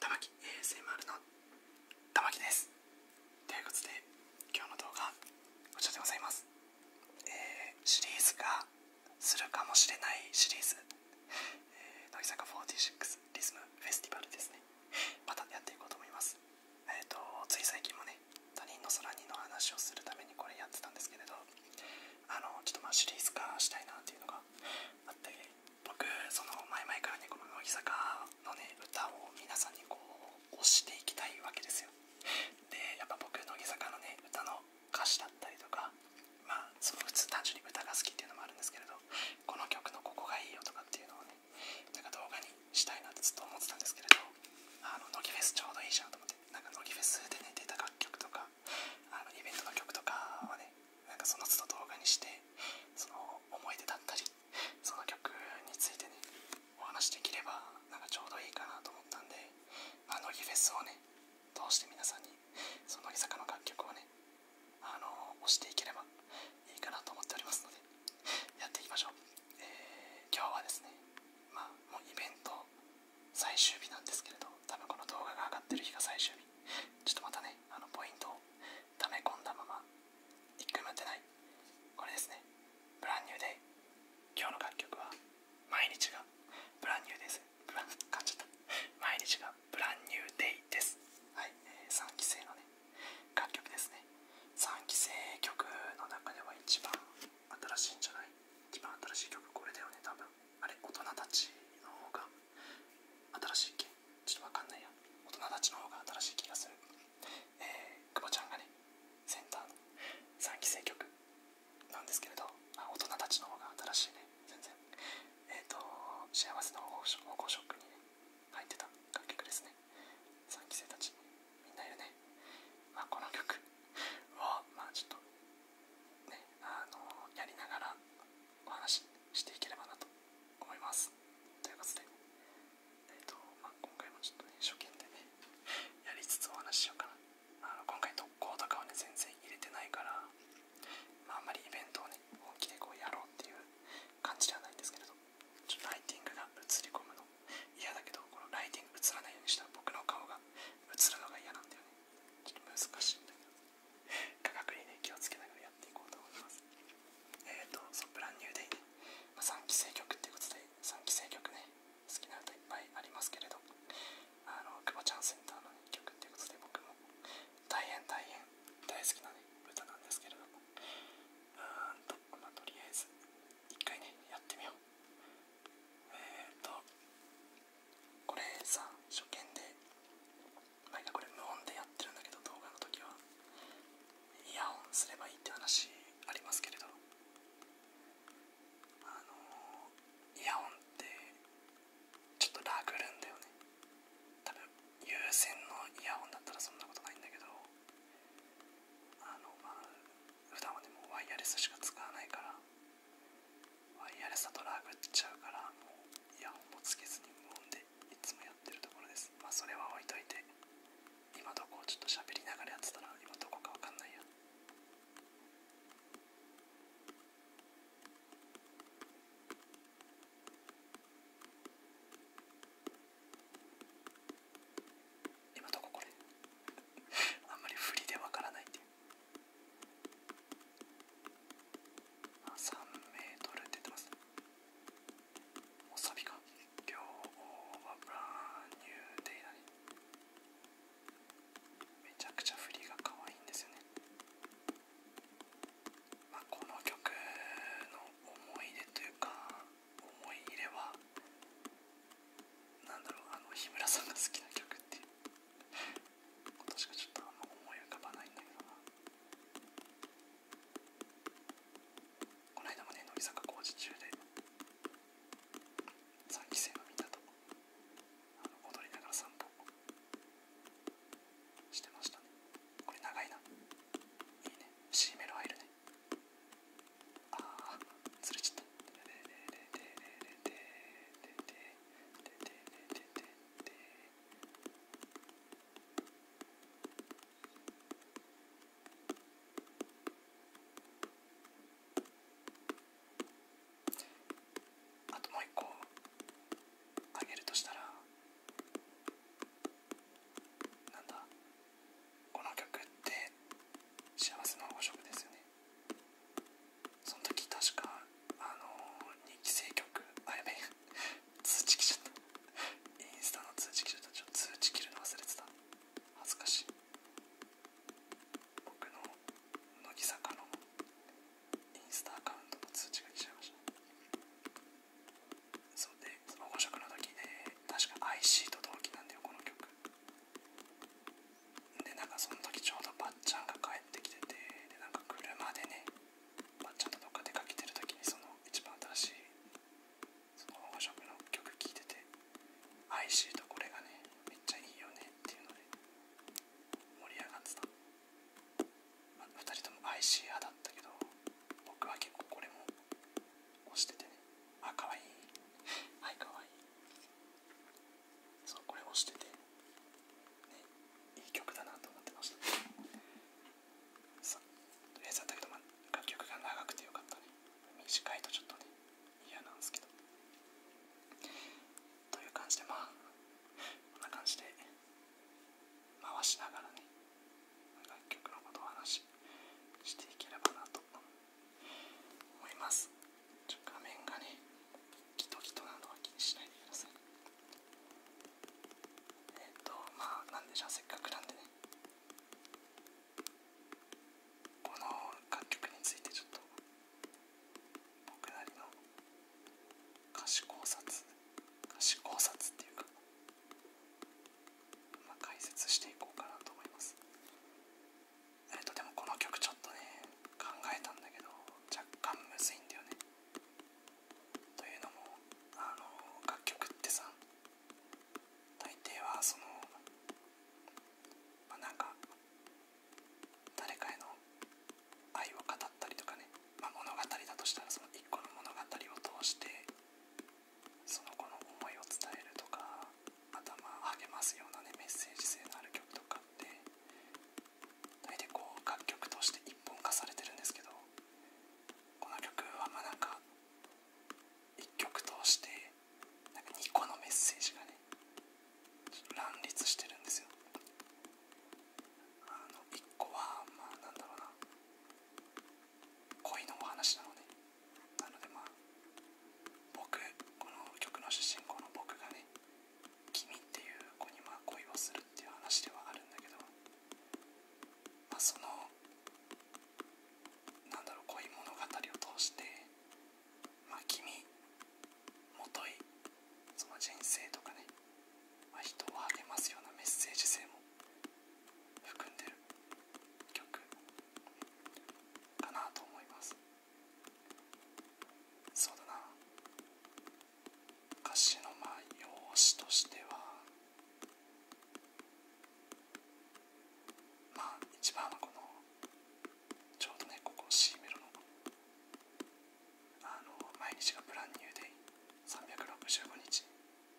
玉木 ASMR の玉木ですということで今日の動画こちらでございます、えー、シリーズ化するかもしれないシリーズ、え乃木坂46リズムフェスティバルですねまたやっていこうと思いますえっ、とつい最近もね他人の空にの話をするためにこれやってたんですけれどあのちょっとまあシリーズ化したいなっていうのがあって僕その前々からねこの乃木坂のね歌を皆さんにこう推していきたいわけですよでやっぱ僕乃木坂のね歌の歌詞だったりとかまあその普通単純に歌が好きっていうのもあるんですけれどこの曲のここがいいよとかっていうのをねなんか動画にしたいなってずっと思ってたんですけれどあの乃木フェスちょうどいいじゃんと思ってなんか乃木フェスでね出た楽曲とかあのイベントの曲とかはねなんかその都度動画にしてその思い出だったりその曲についてねお話できればなんかちょうどいいかなと思ったんで、あ、乃木フェスをね通して皆さんにその乃木坂の楽曲をねあの押していければいいかなと思っておりますのでやっていきましょう、え今日はですねまあもうイベント最終日なんですけれど多分この動画が上がってる日が最終日ちょっとまたねあのポイントをを溜め込んだまま1回もてないこれですねブランニューデイ今日の楽曲は毎日がブランニューですブランじた毎日がブランニューデイですはい、えー、3期生のね楽曲ですね3期生曲の中では一番新しいんじゃない一番新しい曲これだよね多分あれ大人たちの方が新しいけ、ちょっとわかんないや大人たちの方が新しい気がするえー、久保ちゃんがねセンターの3期生曲なんですけれど大人たちの方が新しいね全然えっ、ー、と幸せの保護ショックに、ね、入ってた楽曲ですね3期生たちみんないるねまあこの曲をまあちょっとねあのやりながらお話ししていければなと思います。ということで、えーとまあ、今回もちょっと初見でね、やりつつお話ししようかな。あの今回特攻とかはね、全然入れてないから、あ、んまりイベントをね、本気でこうやろうっていう感じではないんですけれど、ちょっとライティングが映り込むの嫌だけど、このライティング映らないようにしたら僕の顔が映るのが嫌なんだよね。ちょっと難しいんだけど。科学にね気をつけながらやっていこうと思いますえっ、とそうブランニューデイでま3期生曲っていうことで3期生曲ね好きな歌いっぱいありますけれどあの久保ちゃんセンターの、1曲ということで僕も大変大変大好きなね歌なんですけれどもうんとまとりあえず1回ねやってみようえっ、とこれさ初見で毎回これ無音でやってるんだけど動画の時はイヤホンすればいいって話ありますけれどあのイヤホンってちょっとラグるんだよね多分有線のイヤホンだったらそんなことないんだけどあのまあ普段はねもうワイヤレスしか使わないからワイヤレスだとラグっちゃうからもうイヤホンもつけずに無音でいつもやってるところですまあそれは置いといて今どこをちょっと喋りながらやってたら今どこかわかんないや今どここれ あんまり振りでわからないって3 m ーって言ってますおサビか今日はブランニューデイだねめちゃくちゃ振りが可愛いんですよねまこの曲の思い出というか思い入れはなだろうあの日村さんが好きな曲っていうことしちょっとあんま思い浮かばないんだけどなこの間もね乃木坂工事中で3期生のみんなとあの踊りながら散歩してましたねこれ長いないいねシーメロ入るねああずれちゃったあともう一個あげるとしたらなんだこの曲って幸せの保食ですよねその時確かあの人気制曲あやめ通知来ちゃったインスタの通知来ちゃったちょっと通知切るの忘れてた恥ずかしい僕の乃木坂のインスタアカウントの通知が来ちゃいましたそうでその5色の時で確か IC と同期なんだよこの曲でなんかその時ちょうどばっちゃんが帰ってきててでなんか車でねばっちゃんとどっか出かけてる時にその一番新しいそのショップの曲聴いてて「ic とこれがねめっちゃいいよね」っていうので盛り上がってた、ま2人とも i c シ派だったけど僕は結構これも押しててねあ可愛い はい可愛いそうこれをしてて、ね、いい曲だなと思ってましたさとりあえずだけど、ま、楽曲が長くてよかったね短いとちょっとね嫌なんですけどという感じでまあこんな感じで回しながらね楽曲のことを話ししていければなと思います画面がねギトギトなのは気にしないでくださいえっ、ー、とまあなんでじゃ、うせっかくなんでねこの楽曲についてちょっと僕なりの歌詞考察歌詞考察っていうかま解説していこうかなと思いますえっとでもこの曲ちょっとね考えたんだけど若干むずいんだよねというのもあの楽曲ってさ大抵はそのまあなんか誰かへの愛を語ったりとかね、ま物語だとしたらその1個の物語を通してその子の思いを伝えるとか頭を励ますようなねメッセージ性のある曲とかって大体こう楽曲として一本化されてるんですけどこの曲はまなんか1曲通してなんか2個のメッセージがね乱立してるんですよ。あの1個はまあなんだろうな恋のお話なのでなのでまあ僕この曲の主人公の僕がね君っていう子にま恋をするっていう話ではあるんだけどまあそのなんだろう恋物語を通してまあ君もといその人生とかね、ま人を励ますようなメッセージ性も含んでる曲かなと思いますそうだな歌詞のまあ用紙としてはまあ一番はこのちょうどねここ C メロのあの毎日がブランニューデイ365日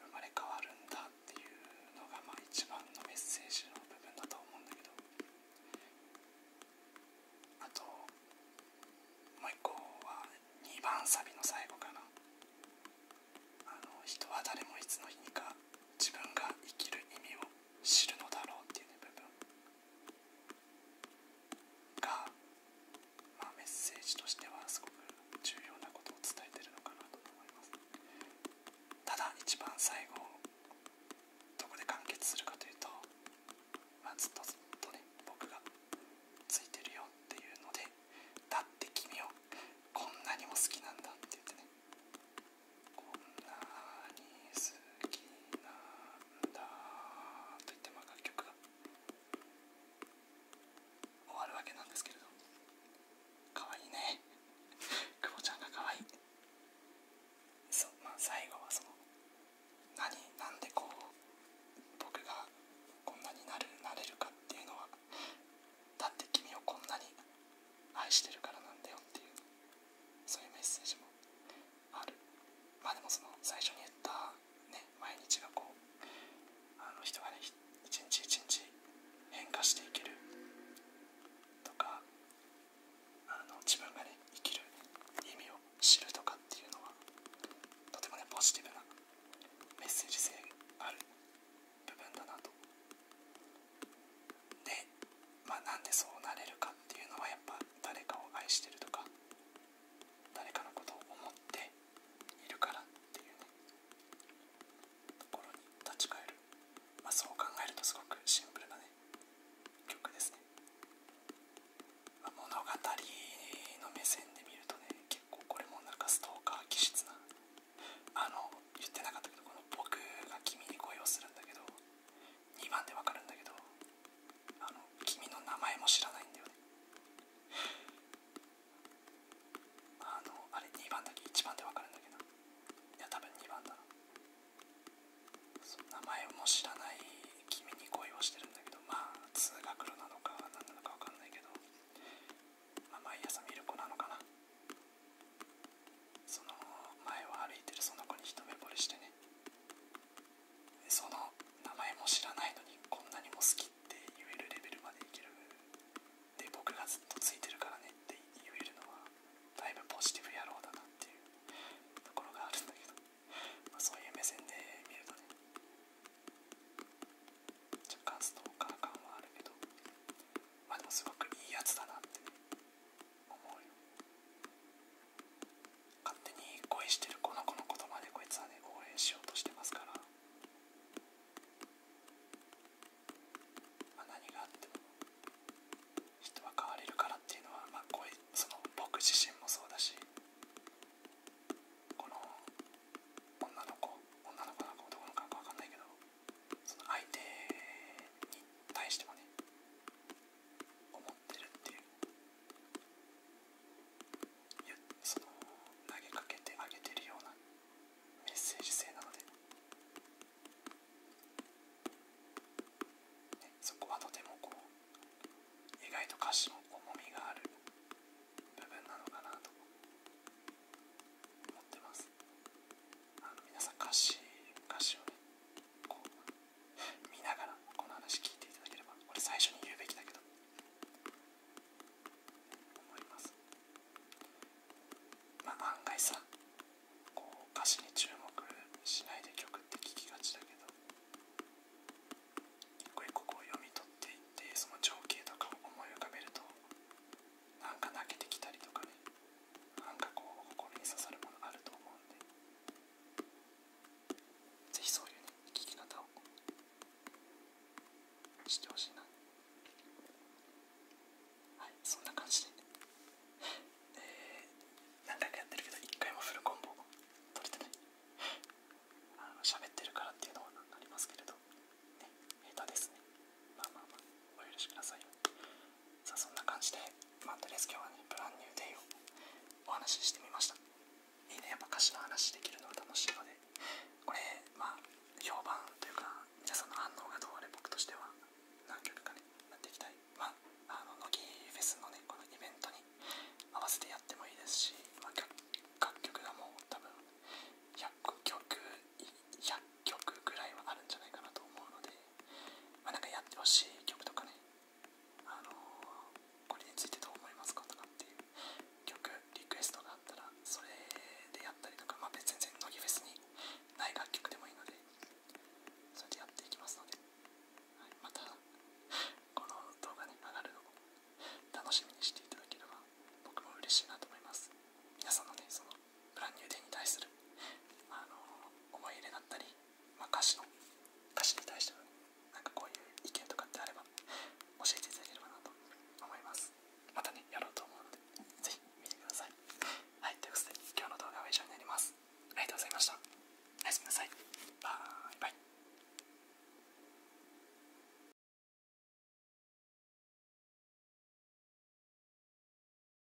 生まれ変わるんだっていうのがまあ一番のメッセージの部分だと思うんだけどあともう一個は2番サビの最後かなあの人は誰もいつの日にか自分が生きる意味を知るのだろうっていう、ね、部分がまメッセージとしてはすごく重要なことを伝えてるのかなと思いますただ一番最後どこで完結するかというと、まずっとずっとね僕がついてるよっていうのでだって君をこんなにも好きなんだって言ってねこんなに好きなんだと言って楽曲が終わるわけなんですけれどかわいいね 久保ちゃんがかわいいそうまあ最後はその何なんでこう僕がこんなになるなれるかっていうのはだって君をこんなに愛してるからなんだよっていうそういうメッセージもあるまあでもその最初に言ったね、毎日がこうあの人がね一日一日変化していけるとかあの自分がね生きる意味を知るとかっていうのはとてもねポジティブなメッセージ性がある部分だなと。で、まなんでそうなれるかっていうのはやっぱ誰かを愛してるとか誰かのことを思っているからっていうねところに立ち返る、まそう考えるとすごくシンプルなね曲ですね、ま物語の目線で見るとね結構これもなんかストーカー気質なあの言ってなかったけどこの僕が君に恋をするんだけど2番でわかるんだけどあの君の名前も知らないんだよねあのあれ2番だけ1番で分かるんだけどいや多分2番だな名前も知らない君に恋をしてるんだけどまあ通学路なのか何なのか分かんないけど、毎朝見る子なのかなその前を歩いてるその子に一目ぼれしてねその名前も知らないのにこんなにも好きって言えるレベルまでいけるで僕がずっとついてるからねって言えるのはだいぶポジティブ野郎だなっていうところがあるんだけど、まそういう目線で見るとね若干ストーカー感はあるけどまあでもすごくいいやつだなって、思うよ勝手に恋してるこの子のことまでこいつはね応援しようとしてますから、まあ、何があっても人は変われるからっていうのは、まあ、こいその僕自身もそうだしこの女の子女の子なんか男の子なんか分かんないけどその相手に対してもね思ってるっていうその投げかけてあげてるようなメッセージ性なので、そこはとてもこう意外と歌詞も重みがある部分なのかなと思ってますあの皆さん歌詞歌詞をねこう見ながらこの話聞いていただければ俺最初に言うべきだけど思いますまあ案外さこう歌詞に注目しないで曲って聞きがちだけど一個一個こう読み取っていってその情景とかを思い浮かべるとなんか泣けてきたりとかねなんかこう誇りに刺さるものあると思うんでぜひそういうね聞き方をしてほしいなはいそんな感じで、ね、え何回かやってるけど一回もフルコンボ取れてないあの喋ってるからっていうのはありますけれどね下手ですねまあまあまあお許しくださいさあそんな感じで、まあ、とりス。今日はね、ブランニューデイをお話ししてみました。いいね、やっぱ歌詞の話できるのが楽しいので、これ、ま評判というか、皆さんの反応がどうあれ、僕としては何曲かね、やっていきたい。まあ、あの、乃木フェスのね、このイベントに合わせてやってもいいですし、まあ、楽曲がもう多分100曲、100曲ぐらいはあるんじゃないかなと思うので、まなんかやってほしい曲とかね、あのこれについてどう思いますかとかっていう曲、リクエストがあったら、それでやったりとか、まあ、全然乃木フェスにない楽曲でもいいので、それでやっていきますので、また、この動画に、ね、上がるのを楽しみにしていただければ、僕も嬉しいなと思います。皆さんのね、そのブランニューデーに対する、あの思い入れだったり、ま歌詞の歌詞に対してのなんかこういう意見とかってあれば教えていただければなと思いますまたねやろうと思うのでぜひ見てくださいはいということで今日の動画は以上になりますありがとうございましたおやすみなさいバイバイ